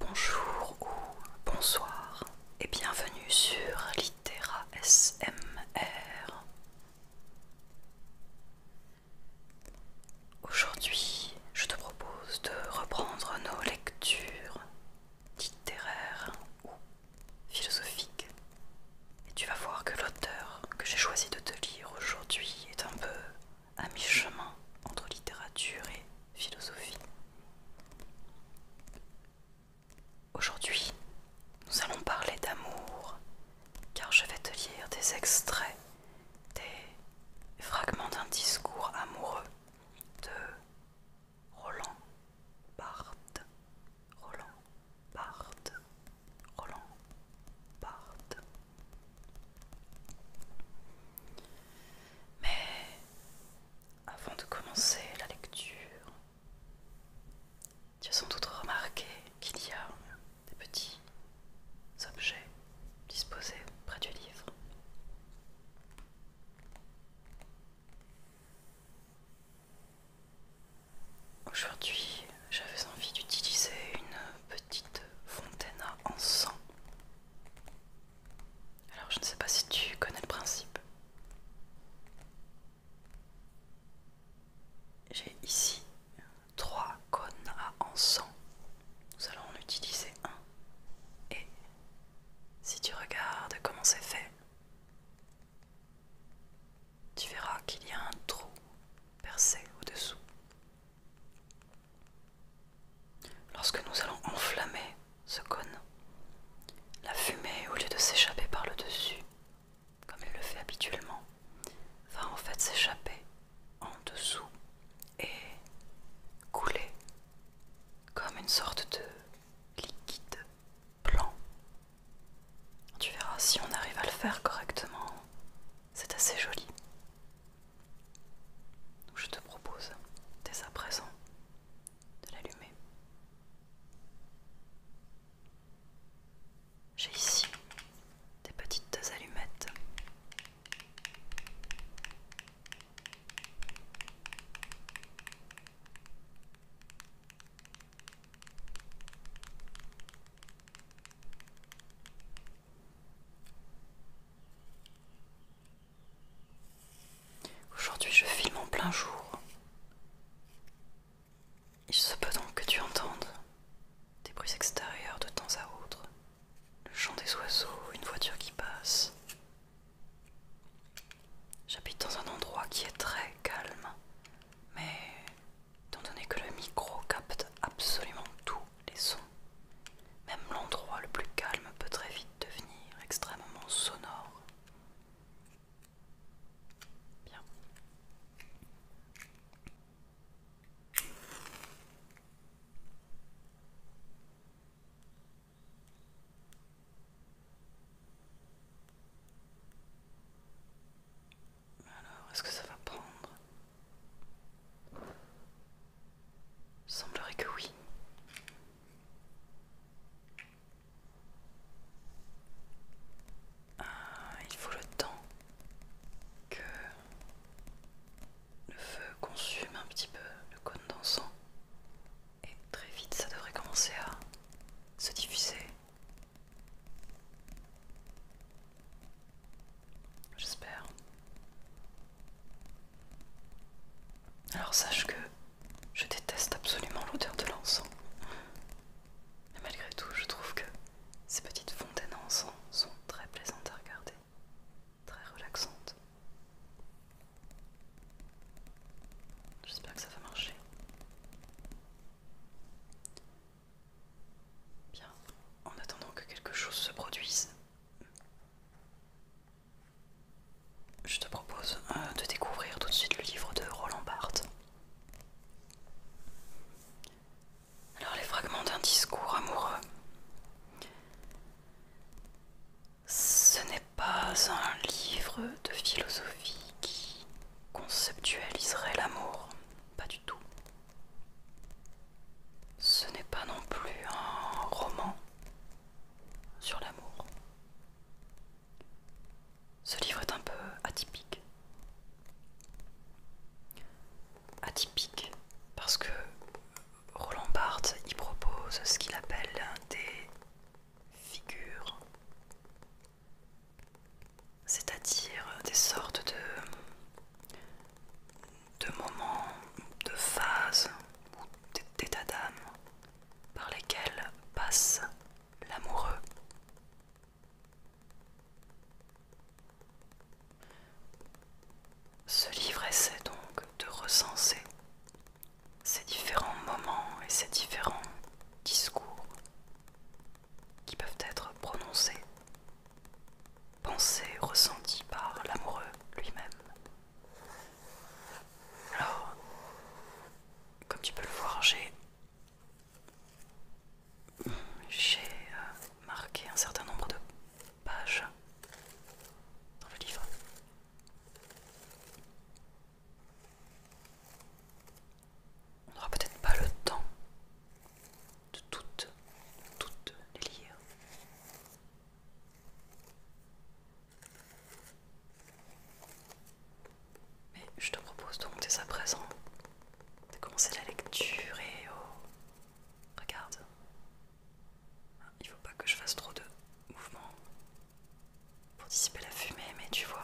Bonjour ou bonsoir et bienvenue sur Litera SMR. Aujourd'hui, je te propose de reprendre nos lectures littéraires ou philosophiques. Et tu vas voir que l'auteur que j'ai choisi de te lire aujourd'hui est un peu à mi-chemin entre littérature et philosophie. Aujourd'hui, nous allons parler d'amour, car je vais te lire des extraits, des fragments d'un discours amoureux de Roland Barthes. Roland Barthes. Roland Barthes. Mais avant de commencer la lecture, tu as sans doute remarqué qu'il y a des petits objets disposés près du livre. Aujourd'hui, j'avais envie d'utiliser une petite fontaine en sang. Alors je ne sais pas si tu connais le principe. J'ai ici trois cônes à encens. Nous allons en utiliser un. Et si tu regardes comment c'est fait, tu verras qu'il y a un trou percé au-dessous. Lorsque nous allons enflammer ce cône, la fumée, au lieu de s'échapper par le dessus, comme elle le fait habituellement, va en fait s'échapper en dessous et couler comme une sorte de liquide blanc. Tu verras si on arrive à le faire correctement, c'est assez joli. Donc je te propose dès à présent de l'allumer. J'ai ici des petites allumettes. Aujourd'hui je filme en plein jour. Il se peut donc que tu entendes des bruits extérieurs de temps à autre, le chant des oiseaux, une voiture qui passe. J'habite dans un endroit qui est très calme, mais étant donné que le micro capte absolument tout, les sons. Même l'endroit le plus calme peut très vite devenir extrêmement sonore. Bien. Alors, est-ce que ça va prendre il semblerait que oui. Ah, il faut le temps que le feu consume un petit peu le cône d'encens. Et très vite, ça devrait commencer à se diffuser. J'espère. Alors sache que je déteste absolument l'odeur de l'encens. Mais malgré tout, je trouve que ces petites fontaines à encens sont très plaisantes à regarder, très relaxantes. J'espère que ça va marcher. Bien, en attendant que quelque chose se produise, je te propose euh, de découvrir tout de suite le livre de Roland Barthes. Alors les fragments d'un discours amoureux. Ce n'est pas un livre de philosophie qui conceptualiserait l'amour, pas du tout. Ce n'est pas non plus un roman sur l'amour. Ce livre est un peu atypique. Atypique parce que Roland Barthes y propose ce qu'il appelle des figures, c'est-à-dire des sortes de de moments, de phases ou d'états d'âme par lesquels passe l'amoureux. Ce livre essaie donc de recenser ces différents moments et ces différents discours qui peuvent être prononcés pensée ressentie par l'amoureux lui-même. Alors, comme tu peux le voir, j'ai j'ai euh, marqué un certain nombre de pages dans le livre. On n'aura peut-être pas le temps de toutes, toutes les lire. Mais je te propose donc dès à présent de commencer la lecture et au... Oh, regarde, hein, il ne faut pas que je fasse trop de mouvements pour dissiper la fumée, mais tu vois,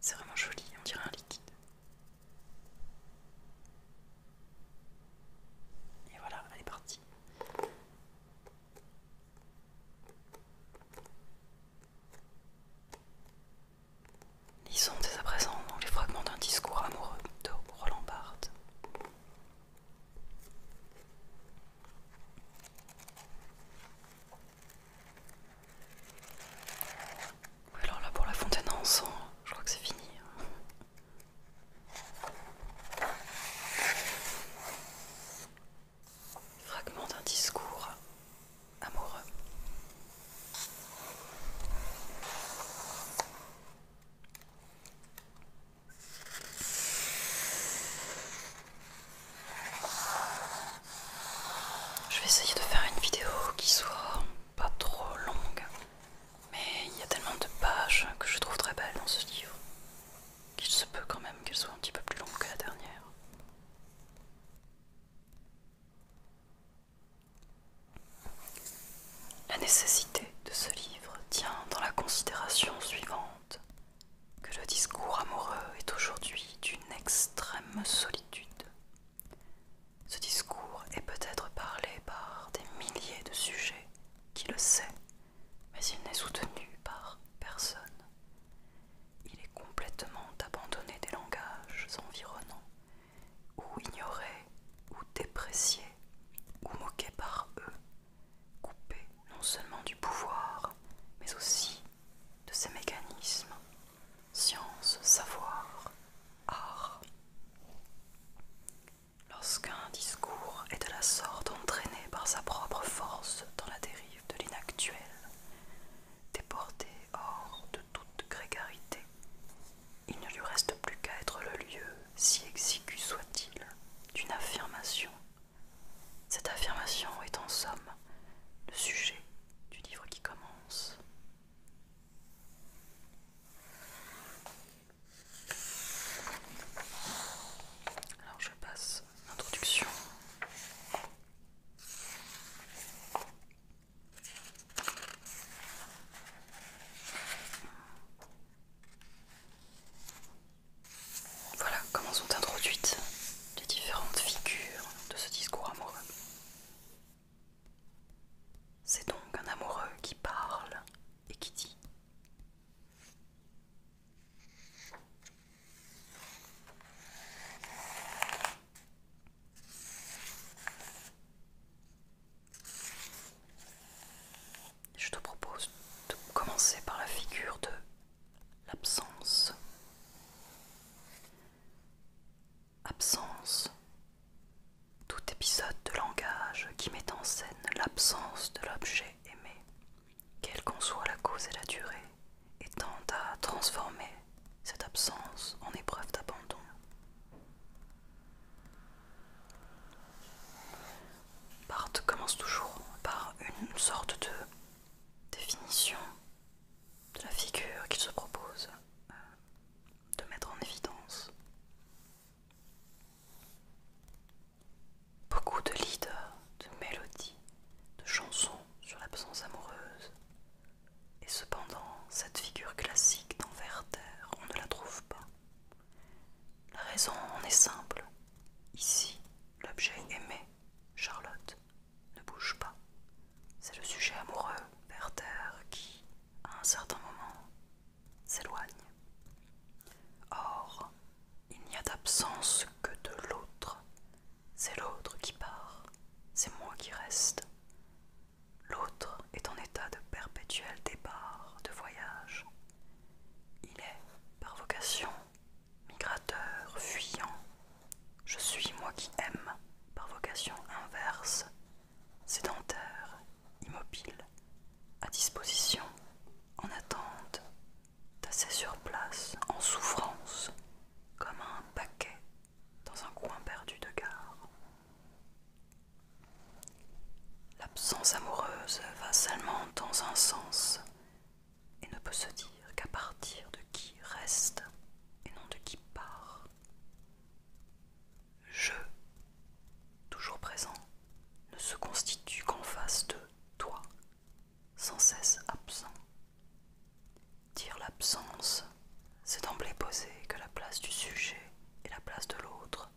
c'est vraiment joli, on dirait un liquide. Et voilà, elle est partie. Lisons dès à présent les fragments d'un discours amoureux de Roland Barthes. alors là pour la fontaine en je crois que c'est fini. Hein. Fragment d'un discours amoureux. Je vais essayer de faire une vidéo qui soit pas trop longue mais il y a tellement de pages que je trouve très belles dans ce livre qu'il se peut quand même qu'elles soit un petit peu plus longues que la dernière. La nécessité de ce livre tient dans la considération suivante que le discours amoureux est aujourd'hui d'une extrême solitude. Ce discours est peut-être parlé par des milliers de sujets, qui le sait, mais il n'est soutenu par personne. Il est complètement abandonné des langages environnants, ou ignoré, ou déprécié, ou moqué par eux, coupé non seulement du pouvoir, mais aussi de ses mécanismes, science, savoir, art. Lorsqu'un discours est de la sorte entraîné par sa propre force dans la dérive de l'inactuel, déporté hors de toute grégarité, il ne lui reste plus qu'à être le lieu, si exigu soit-il, d'une affirmation. Cette affirmation est en somme le sujet du livre qui commence. Alors je passe l'introduction. Voilà comment sont introduites les différentes figures de ce discours amoureux. C'est donc un amoureux qui parle et qui dit Je te propose de commencer par la figure de l'absence. Absence tout épisode de langage qui met en scène l'absence de l'objet aimé, quelle qu'en soit la cause et la durée, et tend à transformer cette absence en épreuve d'abandon. Bart commence toujours par une sorte de définition de la figure qu'il se propose euh, de mettre en évidence. Beaucoup de leaders, de mélodies, de chansons sur l'absence amoureuse. Et cependant, cette figure classique dans Werther, on ne la trouve pas. La raison en est simple. Ici, l'objet aimé, Charlotte, ne bouge pas. C'est le sujet amoureux, Werther, qui, à un certain moment, s'éloigne. Or, il n'y a d'absence que de l'autre. C'est l'autre qui part, c'est moi qui reste. L'autre est en état de perpétuel départ, de voyage. Il est, par vocation, migrateur, fuyant. Je suis moi qui aime, par vocation inverse, sédentaire, immobile, à disposition, en attente, tassé sur place, en souffrance, comme un paquet dans un coin perdu de gare. L'absence amoureuse va seulement dans un sens et ne peut se dire qu'à partir de qui reste et non de qui part je, toujours présent, ne se constitue qu'en face de toi, sans cesse absent. Dire l'absence, c'est d'emblée poser que la place du sujet et la place de l'autre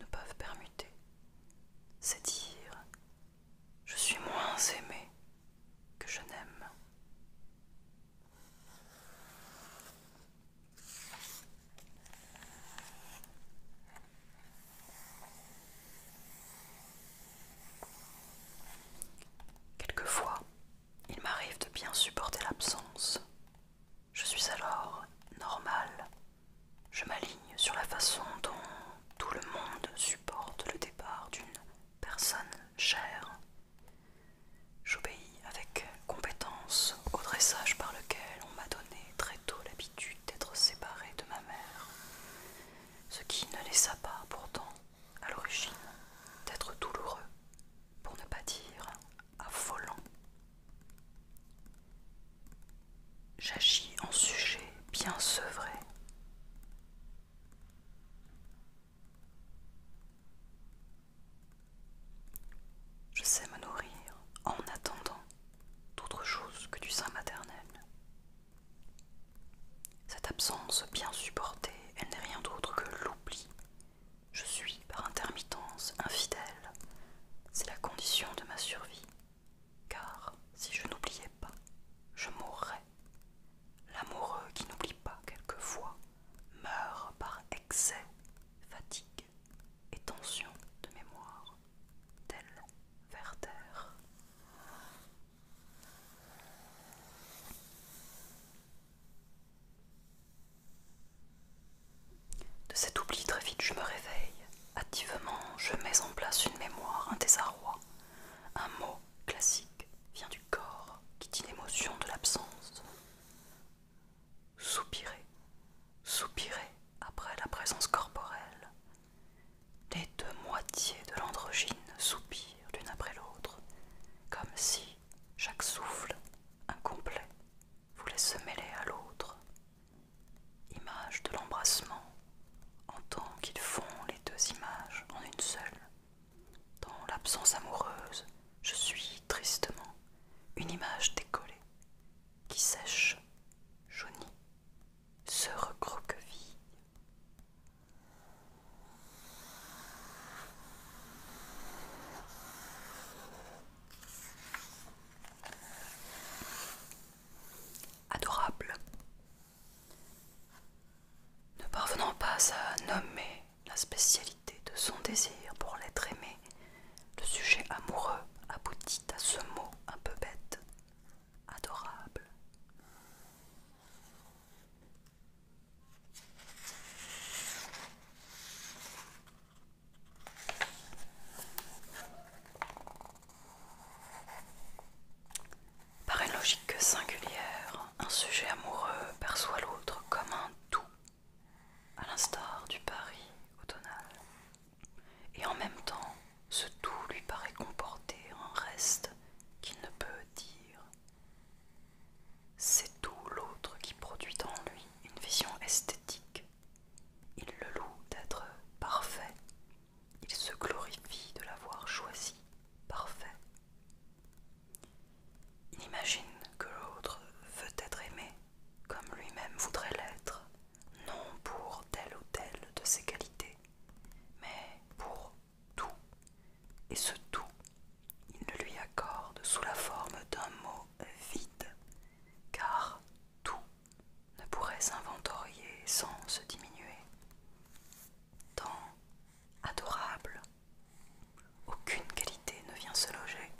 ne peuvent permuter. C'est dire je suis moins aimé que je n'aime. Quelquefois, il m'arrive de bien supporter l'absence. Je suis alors normale. Je m'aligne sur la façon dont tout le monde supporte le départ d'une personne chère. J'obéis avec compétence au dressage par lequel on m'a donné très tôt l'habitude d'être séparée de ma mère, ce qui ne laissa pas pourtant à l'origine d'être douloureux, pour ne pas dire affolant. J'agis en sujet bien sevré. Je sais me nourrir en attendant d'autre chose que du sein maternel. Cette absence bien supportée, elle n'est rien d'autre que l'oubli. Je suis par intermittence infidèle. C'est la condition de ma survie. Car si je n'oubliais pas, je mourrais. L'amoureux qui n'oublie pas quelquefois meurt par excès, fatigue et tension de mémoire tel vers terre. De cet oubli très vite je me réveille. Activement, je mets en place une mémoire, un désarroi. Un mot classique vient du corps qui dit l'émotion de l'absence. Soupirez, soupirer après la présence corporelle. Les deux moitiés de l'androgyne soupirent l'une après l'autre, comme si chaque souffle incomplet voulait se mêler à l'autre. Image de l'embrassement, en tant qu'ils font les deux images en une seule. Dans l'absence amoureuse, je suis tristement une image décollée, qui sèche, jaunit, se recroqueville. Adorable. Ne parvenant pas à nommer la spécialité de son désir pour l'être aimé, le sujet amoureux aboutit à ce mot un peu bête, adorable. Par une logique singulière, un sujet amoureux perçoit l'autre comme un tout, à l'instar du Paris automnal et en même temps ce tout lui paraît comporter un reste qu'il ne peut dire. C'est tout l'autre qui produit en lui une vision esthétique. Il le loue d'être parfait. Il se glorifie de l'avoir choisi parfait. Il imagine que l'autre veut être aimé comme lui-même voudrait l'être non pour telle ou telle de ses qualités, mais pour tout. Et ce tout, il ne lui accorde sous la forme d'un mot vide, car tout ne pourrait s'inventorier sans se diminuer. Tant adorable, aucune qualité ne vient se loger,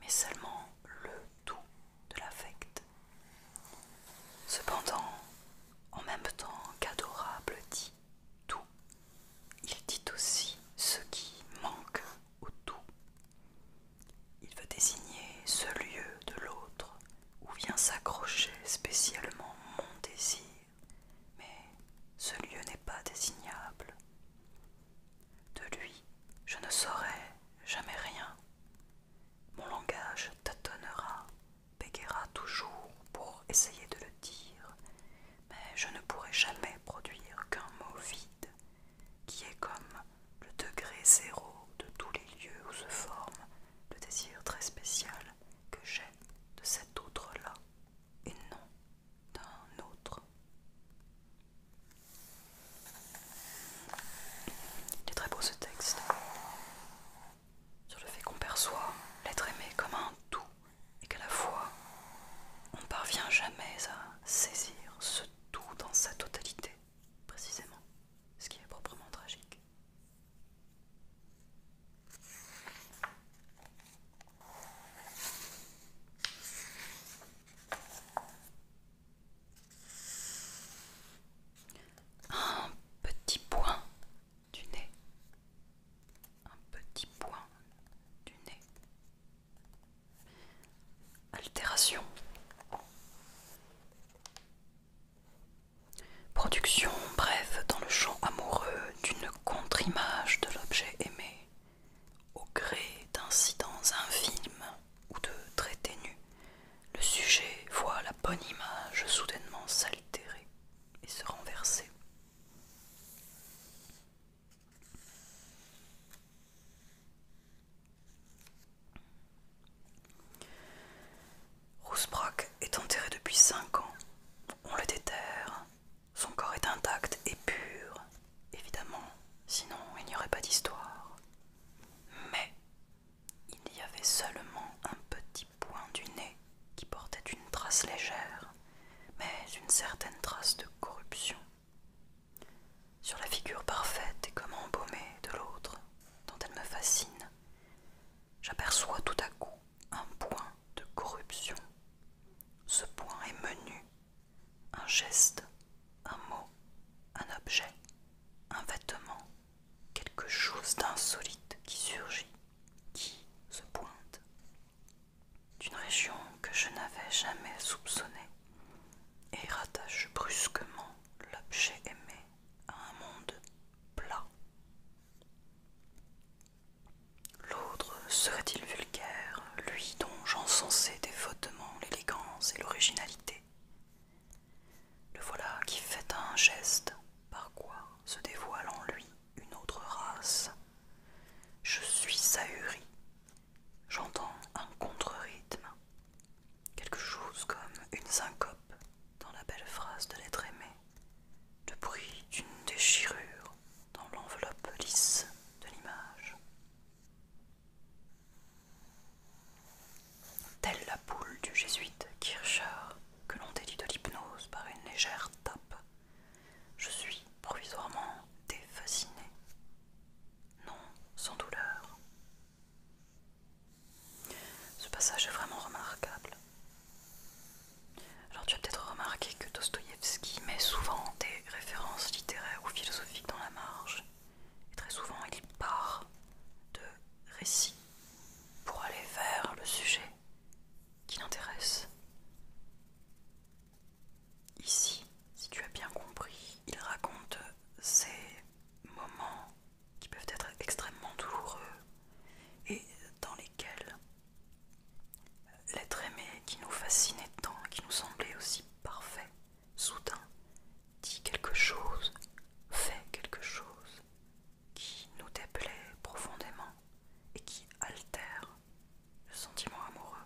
mais seulement le tout de l'affect. Cependant, en même temps qu'adorable dit tout, il dit aussi ce qui manque au tout. Il veut désigner ce lieu de l'autre où vient s'accrocher spécialement mon désir, mais ce lieu n'est pas désignable. De lui, je ne saurai jamais rien. Mon langage tâtonnera, bégayera toujours pour essayer de le dire, mais je ne pourrai jamais produire qu'un mot vide, qui est comme le degré zéro de tous les lieux où se forme le désir très spécial que j'ai de cet autre-là, et non d'un autre. Il est très beau ce texte sur le fait qu'on perçoit l'être aimé comme un tout et qu'à la fois on ne parvient jamais à saisir ce tout dans sa totalité, précisément, ce qui est proprement tragique un petit point du nez, un petit point du nez, altération, production bref, dans le champ amoureux d'une contre-image de l'objet aimé au gré d'incidents infimes ou de très ténu, le sujet voit la bonne image soudainement s'altérer et se renverser. Rousbrack est enterré depuis cinq ans. On le déterre. Son corps est intact et pur, évidemment, sinon il n'y aurait pas d'histoire mais il y avait seulement un petit point du nez qui portait une trace légère, mais une certaine trace de corruption. Sur la figure parfaite et comme embaumée de l'autre, dont elle me fascine, j'aperçois tout à coup un point de corruption. Ce point est menu, un geste, un mot, un objet, un vêtement, quelque chose d'insolite qui surgit, qui se pointe d'une région que je n'avais jamais soupçonnée et rattache brusquement l'objet aimé à un monde plat. L'autre serait-il vulgaire, lui dont j'encensais défautement l'élégance et l'originalité le voilà qui fait un geste par quoi se dévoile en lui une autre race. Je suis saurie, J'entends un contre-rythme, quelque chose comme une syncope dans la belle phrase de l'être aimé, le bruit d'une déchirure dans l'enveloppe lisse de l'image. Telle la poule du jésuite Kircher, que l'on délie de l'hypnose par une légère tape, je suis provisoirement défasciné. Non, sans douleur. Ce passage est vraiment remarquable. Alors tu as peut-être remarqué que Dostoïevski met souvent des références littéraires ou philosophiques dans la marge très souvent, il part de récits pour aller vers le sujet qui l'intéresse. Ici, si tu as bien compris, il raconte ces moments qui peuvent être extrêmement douloureux et dans lesquels l'être aimé qui nous fascinait tant, qui nous semblait aussi parfait, soudain dit quelque chose, fait quelque chose qui nous déplaît profondément et qui altère le sentiment amoureux.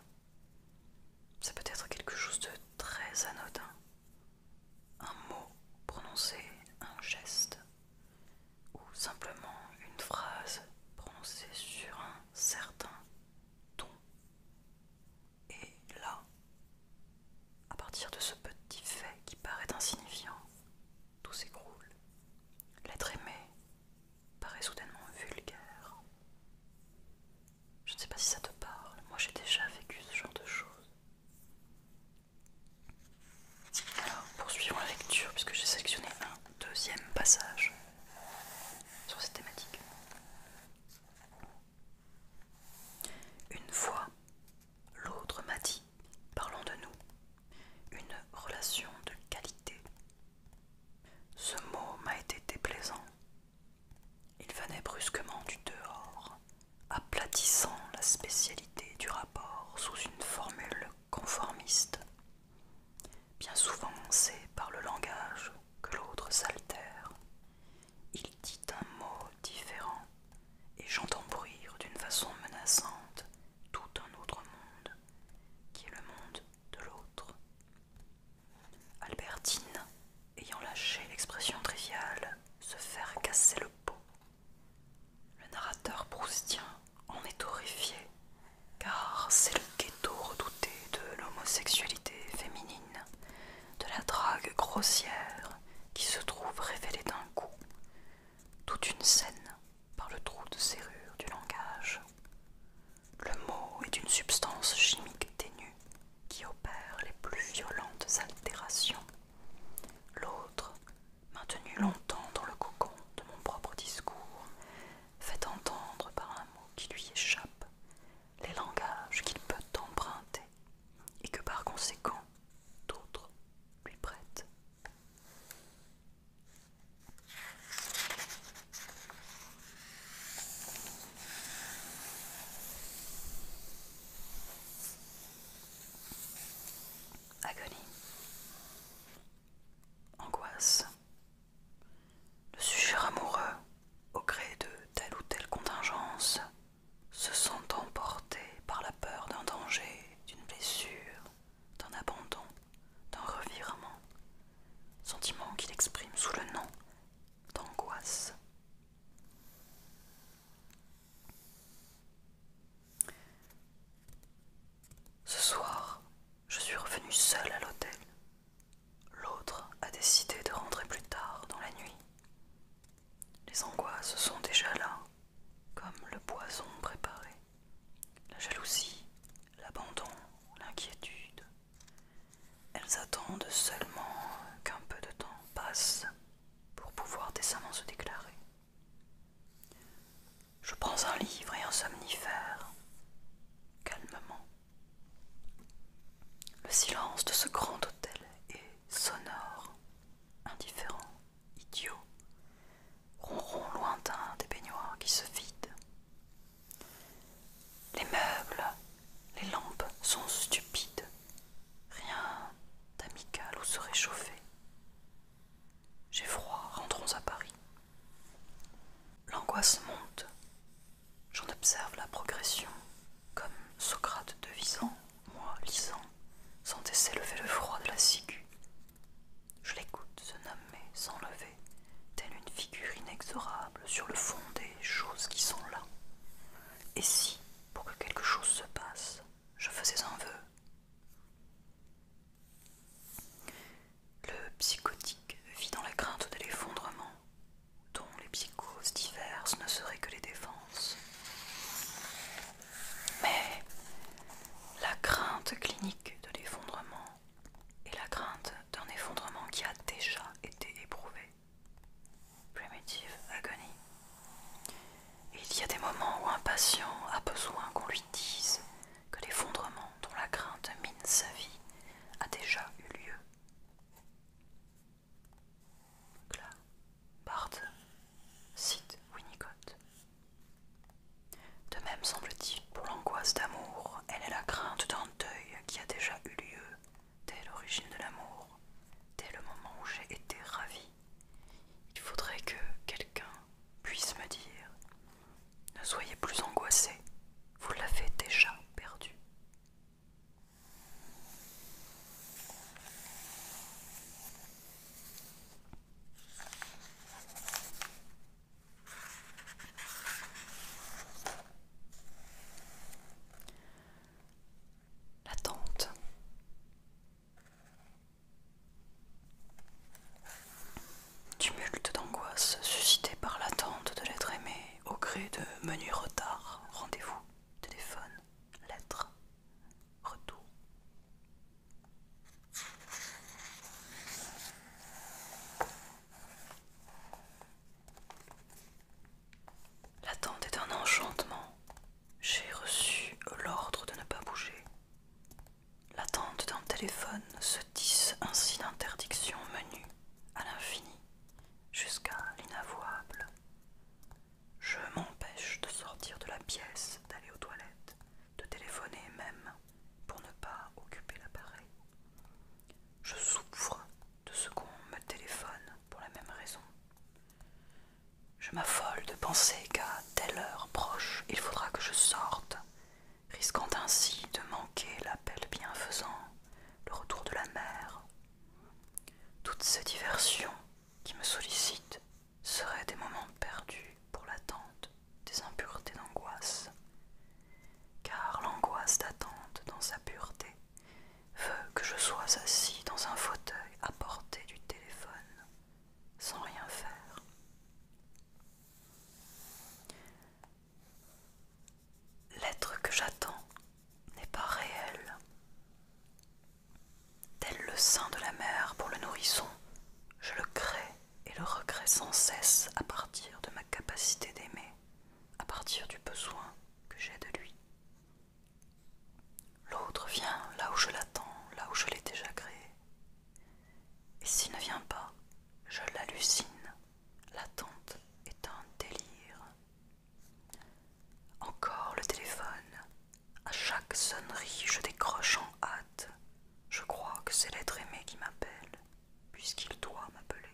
Ça peut être quelque chose de très anodin, un mot prononcé, un geste, ou simplement une phrase prononcée sur un certain ton. Et là, à partir de ce petit fait qui paraît insignifiant, tout s'écroule. L'être aimé paraît soudainement vulgaire. Je ne sais pas si ça te parle, moi j'ai déjà vécu ce genre de choses. Alors, poursuivons la lecture, puisque j'ai sélectionné un deuxième passage sur cette thématique. Une fois, l'autre m'a dit, parlons de nous, une relation de qualité. Ce mot m'a été déplaisant. Il venait brusquement du dehors, aplatissant la spécialité du rapport sous une formule conformiste. Bien souvent, c'est par le langage que l'autre s'altère, il dit un mot différent, et j'entends bruire d'une façon menaçante tout un autre monde, qui est le monde de l'autre. Albertine, ayant lâché l'expression triviale, se fait casser le pot. Le narrateur proustien en est horrifié, car c'est le ghetto redouté de l'homosexualité féminine de la drague grossière qui se trouve révélée d'un coup, toute une scène par le trou de serrure du langage. Le mot est une substance chimique ténue qui opère les plus violentes altérations. L'autre, maintenu longtemps dans le cocon de mon propre discours, fait entendre par un mot qui lui échappe les langages qu'il peut emprunter et que par conséquent d'autres lui prêtent. Agonie, angoisse, le sujet amoureux au gré de telle ou telle contingence se sent emporté par la peur d'un danger, d'une blessure, d'un abandon, d'un revirement, sentiment qu'il exprime sous le nom d'angoisse. Ce soir, je suis revenue seule à l'hôtel. L'autre a décidé de rentrer plus tard dans la nuit. Les angoisses sont déjà là, comme le poison préparé. La jalousie, l'abandon, l'inquiétude. Elles attendent seulement qu'un peu de temps passe pour pouvoir décemment se déclarer. Je prends un livre et un somnifère, calmement. Le silence de ce grand hôtel est sonore, indifférent, idiot, ronron lointain des baignoires qui se vident. Les meubles, les lampes sont stupides, rien d'amical ou se réchauffer. J'ai froid, rentrons à Paris. L'angoisse monte, j'en observe la progression comme Socrate devisant, moi lisant, sentais s'élever le froid de la ciguë. Je l'écoute se nommer s'enlever, telle une figure inexorable sur le fond des choses qui sont là. Et si, pour que quelque chose se passe, je faisais un vœu Le psychotique vit dans la crainte de l'effondrement, dont les psychoses diverses ne seraient que les défenses. Mais la crainte clinique de l'effondrement est la crainte d'un effondrement qui a déjà été éprouvé. Primitive agony. Il y a des moments où un patient a besoin qu'on lui dise que l'effondrement dont la crainte mine sa vie a déjà eu lieu cite Winnicott. De même semble-t-il, pour l'angoisse d'amour, elle est la crainte d'un deuil qui a déjà eu lieu dès l'origine de l'amour, dès le moment où j'ai été ravie. Il faudrait que quelqu'un puisse me dire Ne soyez plus angoissé, vous l'avez déjà perdu. L'attente. Tumulte d'angoisse suscité par l'attente de l'être aimé au gré de menus retards, rendez-vous, téléphone, lettres retour. L'attente est un enchantement. J'ai reçu l'ordre de ne pas bouger. L'attente d'un téléphone se tisse ainsi d'interdiction menues à l'infini jusqu'à l'inavouable. Je m'empêche de sortir de la pièce, d'aller aux toilettes, de téléphoner même pour ne pas occuper l'appareil. Je souffre de ce qu'on me téléphone pour la même raison. Je m'affole de penser qu'à telle heure proche, il faudra que je sorte, risquant ainsi de manquer l'appel bienfaisant, le retour de la mer. Toutes ces diversions qui me sollicite seraient des moments perdus pour l'attente des impuretés d'angoisse, car l'angoisse d'attente dans sa pureté veut que je sois assis dans un fauteuil à portée du téléphone, sans rien faire. L'être que j'attends n'est pas réel. Tel le sein de la mère pour le nourrisson, je le crée et le recrée sans cesse à partir de ma capacité d'aimer, à partir du besoin que j'ai de lui. L'autre vient là où je l'attends, là où je l'ai déjà créé. Et s'il ne vient pas, je l'hallucine. L'attente est un délire. Encore le téléphone. À chaque sonnerie, je décroche en hâte. Je crois que c'est l'être aimé qui m'appelle, puisqu'il doit m'appeler.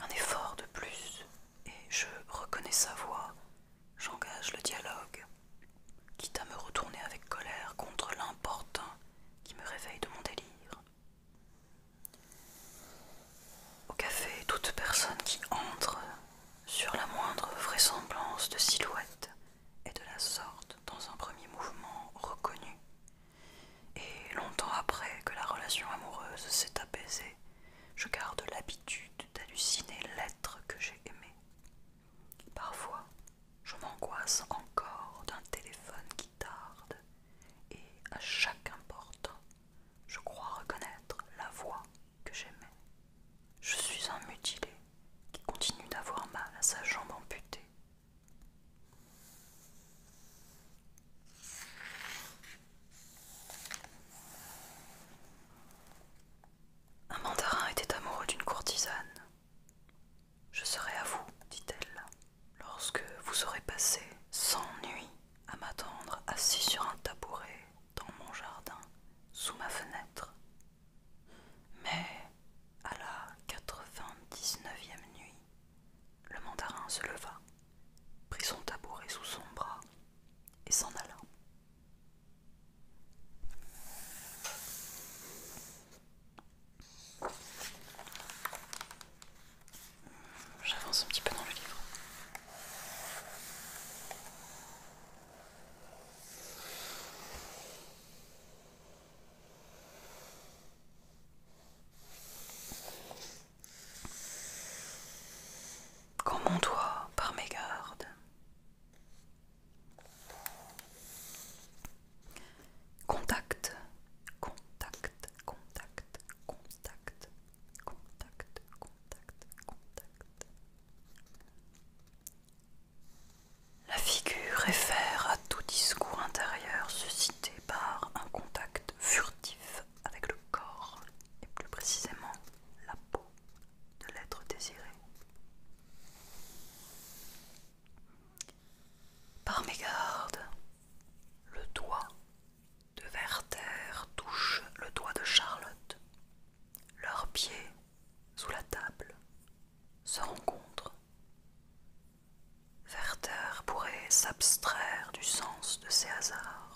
Un effort de plus, et je reconnais sa voix. J'engage le dialogue, quitte à me retourner avec colère contre l'importun qui me réveille de mon délire. Au café, toute personne qui entre sur la moindre vraisemblance de silhouette est de la sorte dans un premier mouvement reconnu. Et longtemps après que la relation amoureuse s'est apaisée, je garde l'habitude d'halluciner l'être que j'ai aimé. Parfois, je m'angoisse encore d'un téléphone qui tarde, et à chaque important, je crois reconnaître la voix que j'aimais. Je suis un mutilé qui continue d'avoir mal à sa jambe amputée. Un mandarin était amoureux d'une courtisane. Je serai à vous, dit-elle, lorsque vous aurez passé sans nuit à m'attendre assis sur un tabouret dans mon jardin, sous ma fenêtre. Mais à la 99e nuit, le mandarin se leva, prit son tabouret sous son bras et s'en alla. J'avance un petit peu dans le livre. Comme mon toi, par mes gardes. Contact, contact, contact, contact, Contact, contact, contact. La figure réfère à tout discours intérieur suscité par un contact furtif avec le corps et plus précisément la peau de l'être désiré. Par mégarde, le doigt de Werther touche le doigt de Charlotte leurs pieds, sous la table, se rencontrent. Werther pourrait s'abstraire du sens de ces hasards.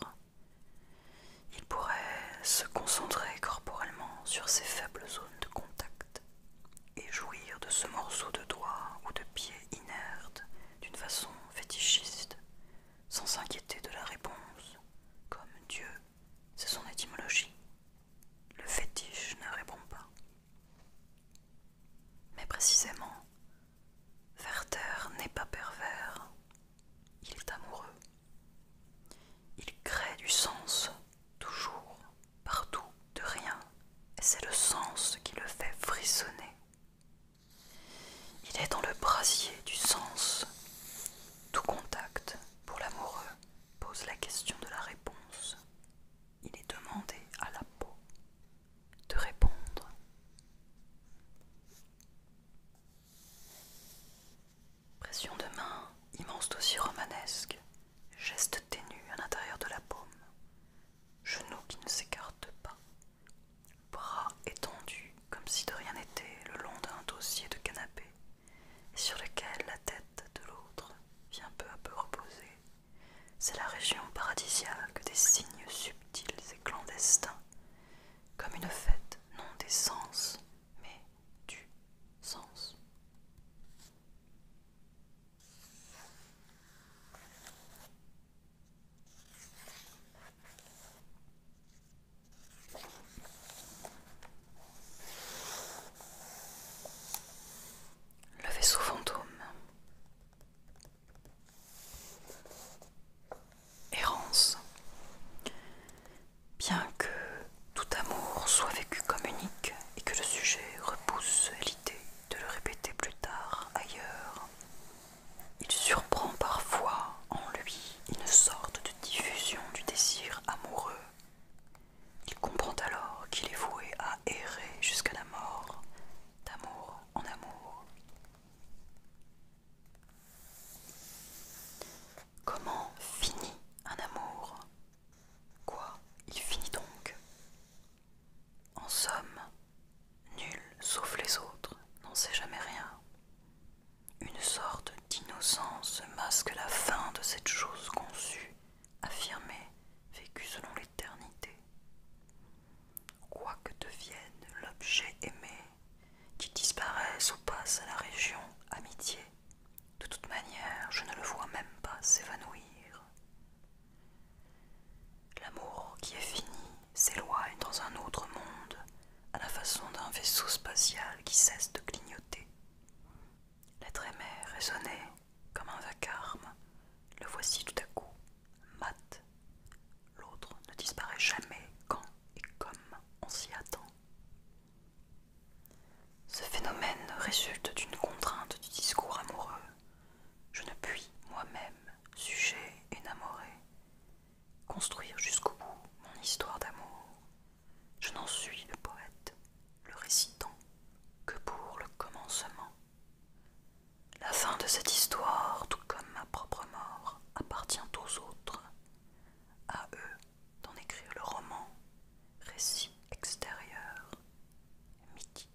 Il pourrait se concentrer corporellement sur ces faibles zones de contact et jouir de ce morceau de doigt ou de pied inerte d'une façon fétichiste, sans s'inquiéter de la réponse, comme Dieu c'est son étymologie. Le fétiche ne répond pas. Mais précisément, Werther n'est pas pervers. Il est amoureux. Il crée du sens, toujours, partout, de rien. Et c'est le sens qui le fait frissonner. Il est dans le brasier du sens, tout contact pour l'amoureux pose la question de la réponse. Il est demandé à la peau de répondre. Pression de main, immense dossier romanesque, geste ténu à l'intérieur de la paume, genoux qui ne s'écartent pas, bras étendus comme si de rien n'était, le long d'un dossier de canapé, sur lequel la tête de l'autre vient peu à peu reposer. C'est la région paradisiaque des signes subtils et clandestins, comme une fête non des sens, mais du sens. Le vaisseau fantôme Errance Bien que tout amour soit vécu comme unique et que le sujet repousse l'idée de le répéter plus tard ailleurs, il surprend parfois en lui une sorte de diffusion du désir amoureux. Il comprend alors qu'il est voué à errer jusqu'à la mort, d'amour en amour. Comment finit un amour Quoi Il finit donc En somme, nul sauf les autres n'en sait jamais rien. Une sorte d'innocence masque la fin de cette chose conçue, affirmée, vécue selon l'éternité. que devienne l'objet aimé, qui disparaisse ou passe à la région amitié, de toute manière je ne le vois même pas s'évanouir. L'amour qui est fini s'éloigne dans un autre monde à la façon d'un vaisseau spatial qui cesse de clignoter. L'être aimé résonnait comme un vacarme. Le voici tout à coup, mat. L'autre ne disparaît jamais quand et comme on s'y attend. Ce phénomène résulte d'une contrainte du discours amoureux. Je ne puis moi-même, sujet énamoré, construire jusqu'au bout mon histoire d'amour. Je n'en suis le poète, le récitant, que pour le commencement. La fin de cette histoire, tout comme ma propre mort, appartient aux autres, à eux d'en écrire le roman, récit extérieur, mythique.